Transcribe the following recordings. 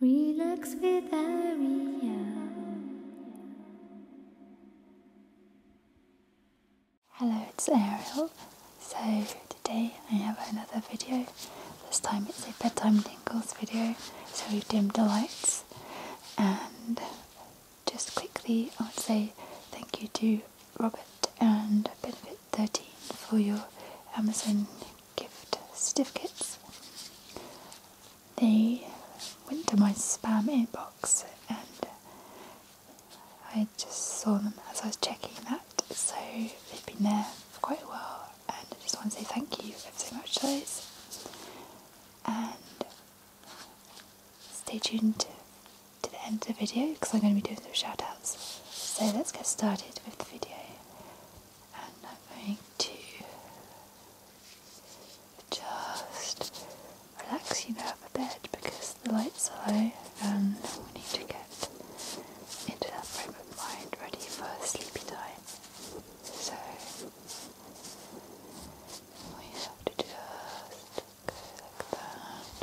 Relax with Ariel. Hello, it's Ariel. So today I have another video. This time it's a bedtime tingles video. So we dim the lights and just quickly I would say thank you to Robert and Benefit13 for your Amazon gift certificates. They went to my spam inbox and I just saw them as I was checking that. So they've been there for quite a while and I just want to say thank you ever so much to those. And stay tuned to the end of the video because I'm going to be doing some shoutouts. So let's get started with the video and I'm going to just relax you now a bit because the lights are low and we need to get into that frame mind ready for sleepy time. So we have to just go like that.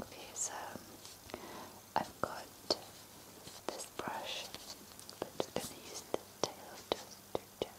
Okay, so I've got this brush, but I'm gonna use the tail just to check.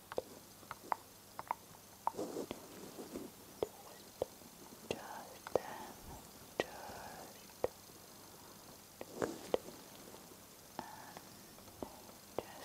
just then, just good, and just that. So we're going to that one, just going to that one. Just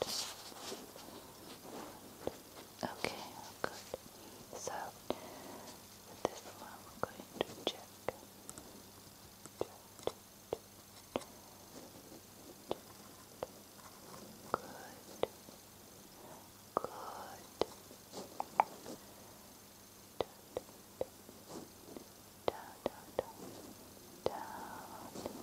Just okay, good. So with this one, we're going to check. Good. Good. down, down, down,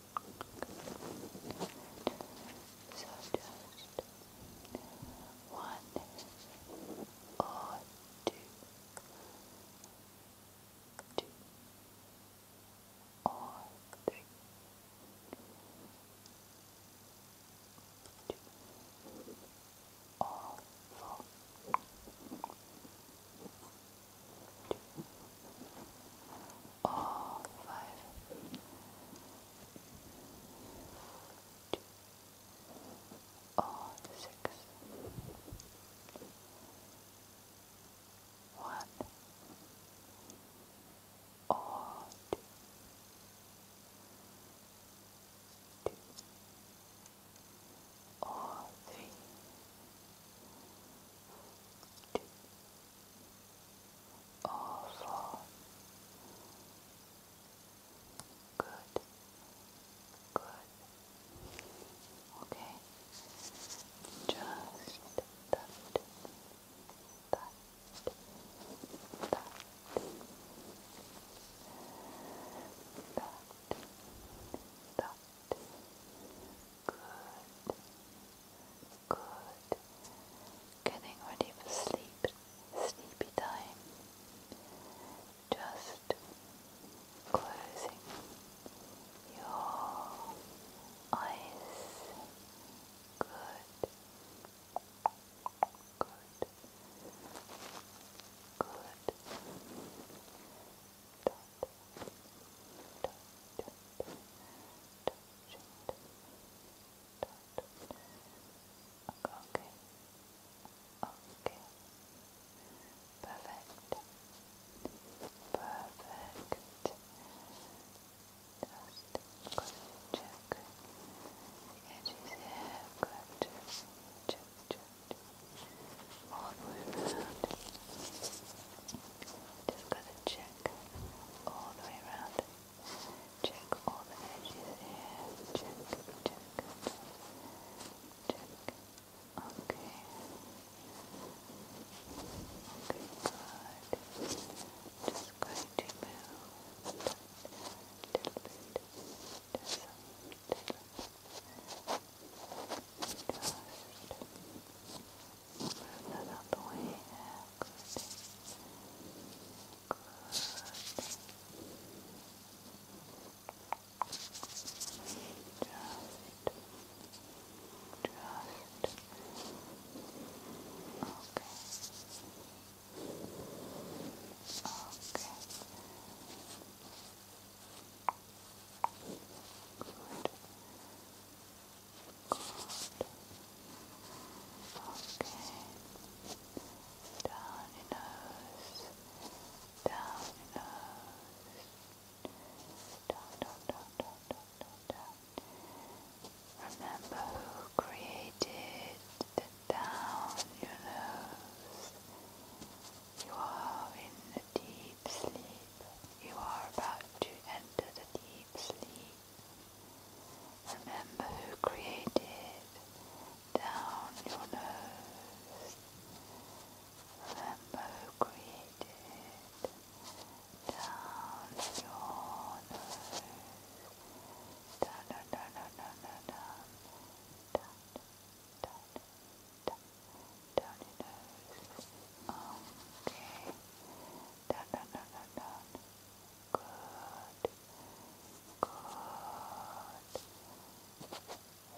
So just one or two, two or three, two or four, two or five or six. One or two. Two or three. Two awful. Good. Good. Okay. Just that. That. That. That. That. Good. Good. Getting ready for sleep. Sleepy time. Just closing your eyes. Good. Good. Good. Touch, touch, Okay. Okay. Perfect. Perfect. Just going to check edges check, check, check. All the way around. Just going to check all the way around. Check all the edges Check, check, check. Okay. Okay, good. Just going to move that little bit. Just Just that out Good. Good. Just. Just. Okay. Okay. Good. Good. Down your nose. Down your nose. Down, down, down, down, down, down, Remember who created the down your nose. You are in a deep sleep. You are about to enter the deep sleep. Remember who created down your nose. Remember who created down your nose. Down, down, down, down, down, down, down, down, down, down, your nose. Okay. down, down, down, down Good. Good.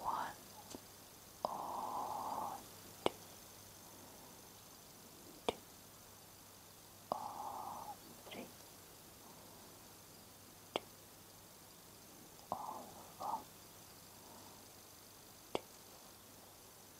One two. Two or three. Two or four. Two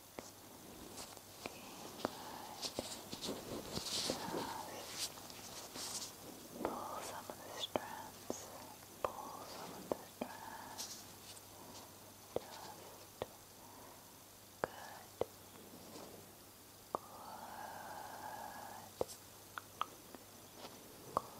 Now, pull some of the strands. Pull some of the strands. Just good. Good. Good.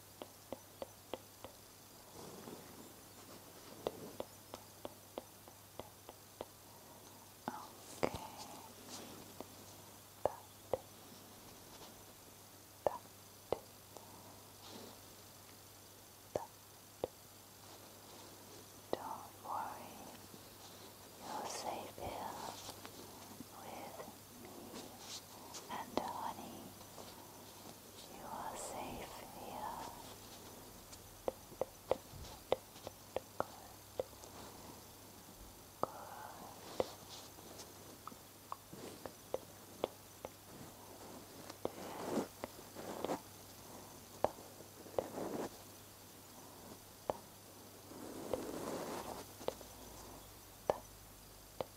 Okay. Don't worry, you're safe here with and honey. You are safe here.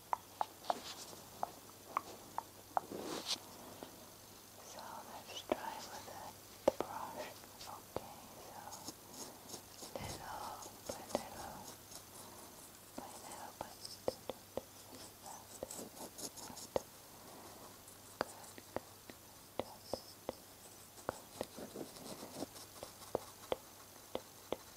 So let's try with a brush. Okay, so little by little by little by little. Good, good, good. Good. Good.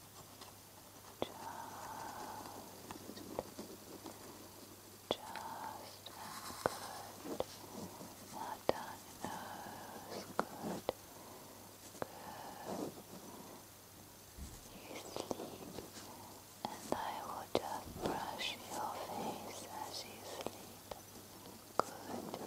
just good. Good. Good. You sleep, and I will just brush your face as you sleep. Good.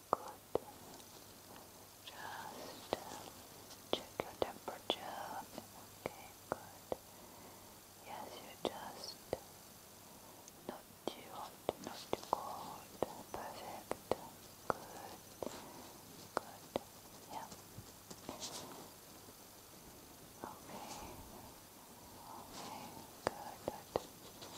Good. Just um, check your temperature. Okay, good. Yes, you just not too hot, not too cold. Perfect. Good. Good. Yeah. Okay. Okay. Good. Good.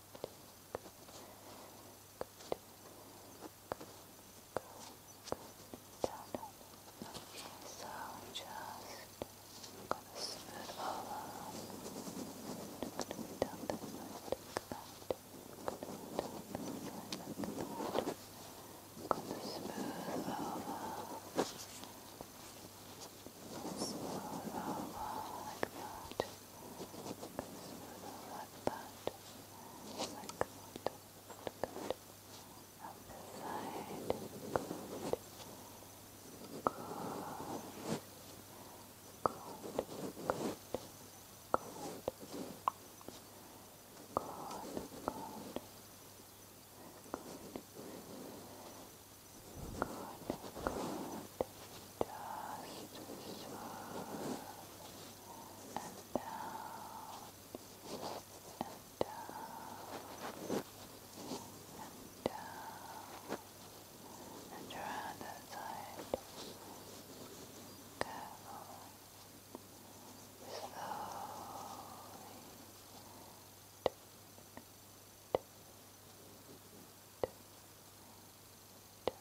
so just gonna smooth all out. Down this side, like that. Gonna smooth all like that left part like good, good. Up the side, good, good, good, good, good. Good, good, good, good, good just swirl and down and down and down and around that side careful slowly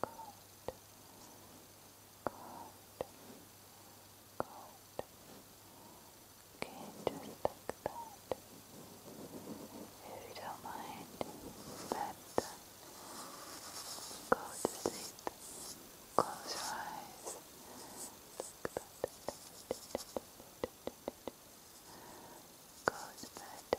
Good. Good. Good. Okay, just like that. If you don't mind, that go to sleep. Close your eyes. Go to bed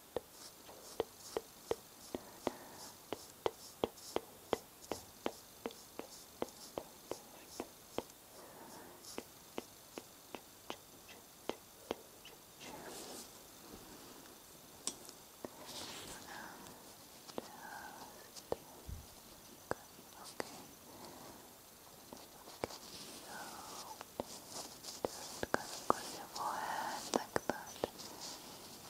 just going across your forehead like that.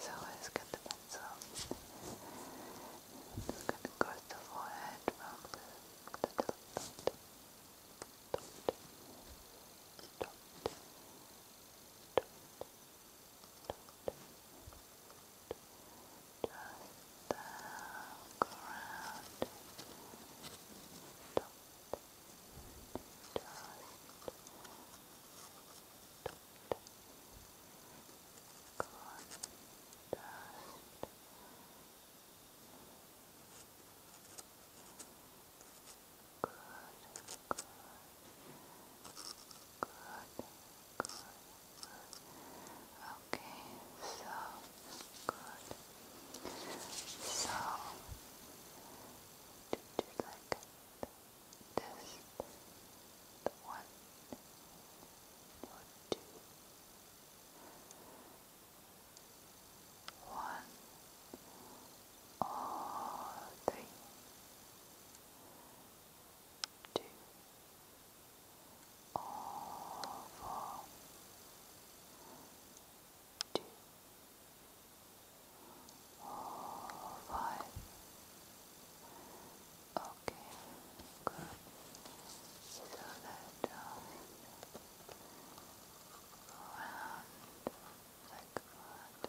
So let's get the pencil. It's going to cross the forehead round the, the top, top, top, top, top, top, top. Just down, go around, top, just, top, dust. Good, good, good, good. Okay, so good. So, did you like it? test the one or two one or three two or four two five. Okay, good. So that round like that. Okay, that, that, that.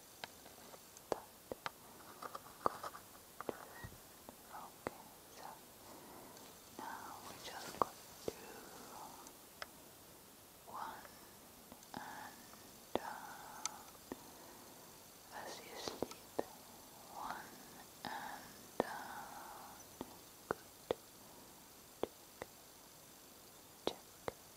Good. now we just got to one and down. As you sleep, one and down. Good. Check, check,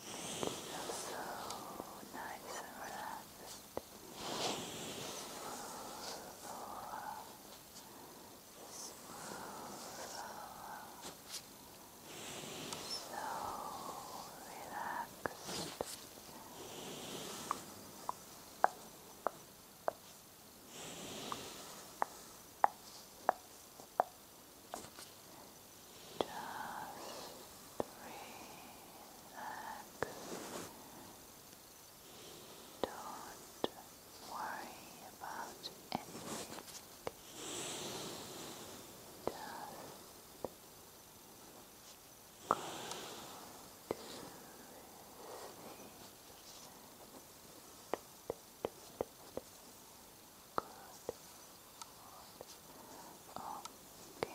Feel so nice and relaxed. Smooth over. Smooth So relaxed. Don't worry about anything. Just go to sleep. Good Okay. Good. Good. Good. Good.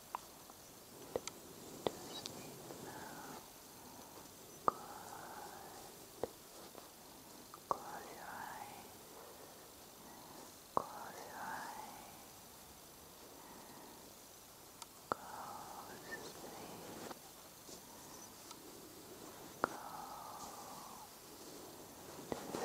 sleep now. Good. Close your eyes. Close your eyes. Go sleep. Go sleep.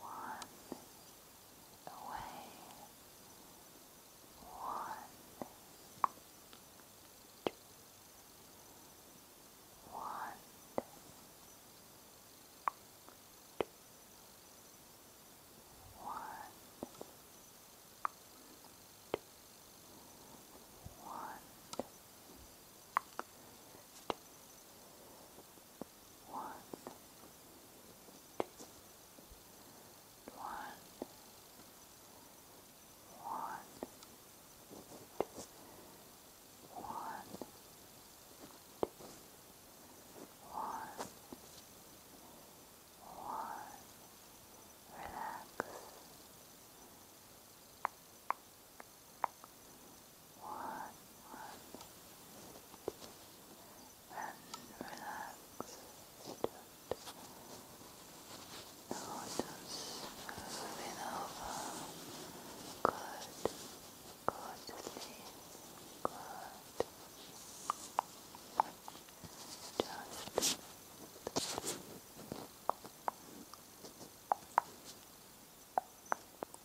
one away, one, two, one, two, one, two, one, two, one, two, one, one, two, one, two, one, one, relax. Relax one, one, and relax. Notice moving over. Good. Go to sleep. Good. Just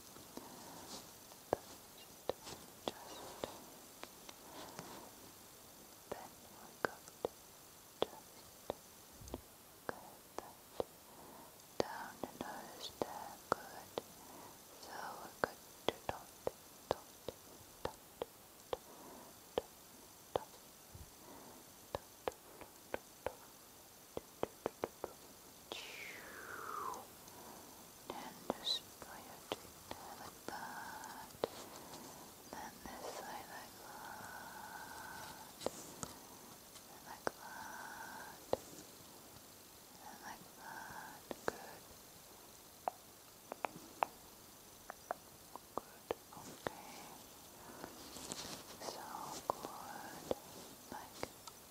then we're going to just go down the nose good. So we're going dot, dot, dot, dot, dot, dot, dot, dot, dot, dot, dot, dot, dot, then just like that. Then that. And that. And that. Good. Good. Okay. So good. Like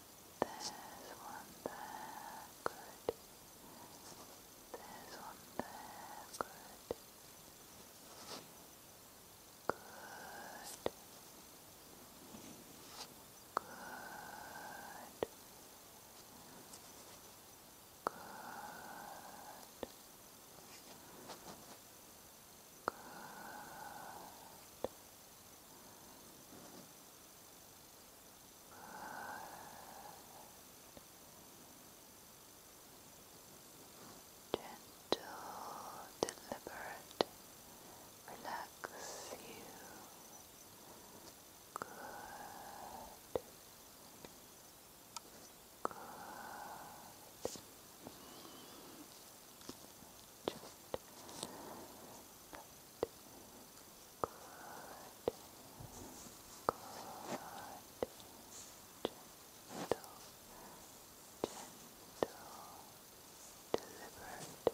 There's one there, good. There's one there, Good. Good. Good. Good. Good. Gentle, deliberate, relax you. Good. Good. Just deliberate, relaxing and down the good, but, but, but, but,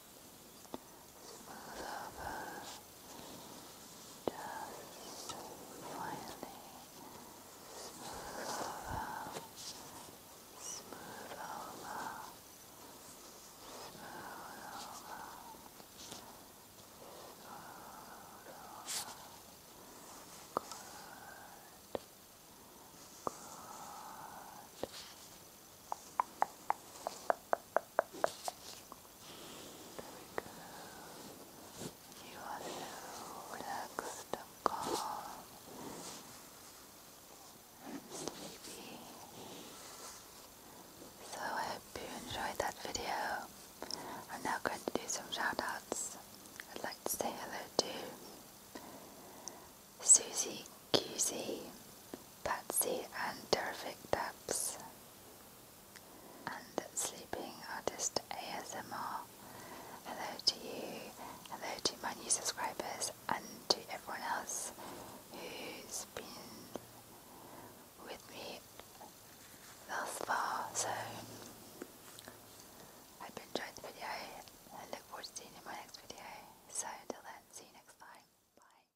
smooth over just finally smooth over smooth over smooth over smooth over Good. Good. You are so relaxed and calm and sleepy. So I hope you enjoyed that video. I'm now going to do some shoutouts. I'd like to say hello to Susie QZ, Patsy and Terrific Dabs, and Sleeping Artist ASMR. Hello to you, hello to my new subscribers, and to everyone else who's been with me thus far. So, I hope you enjoying the video and look forward to seeing you in my next video. So, until then, see you next time. Bye.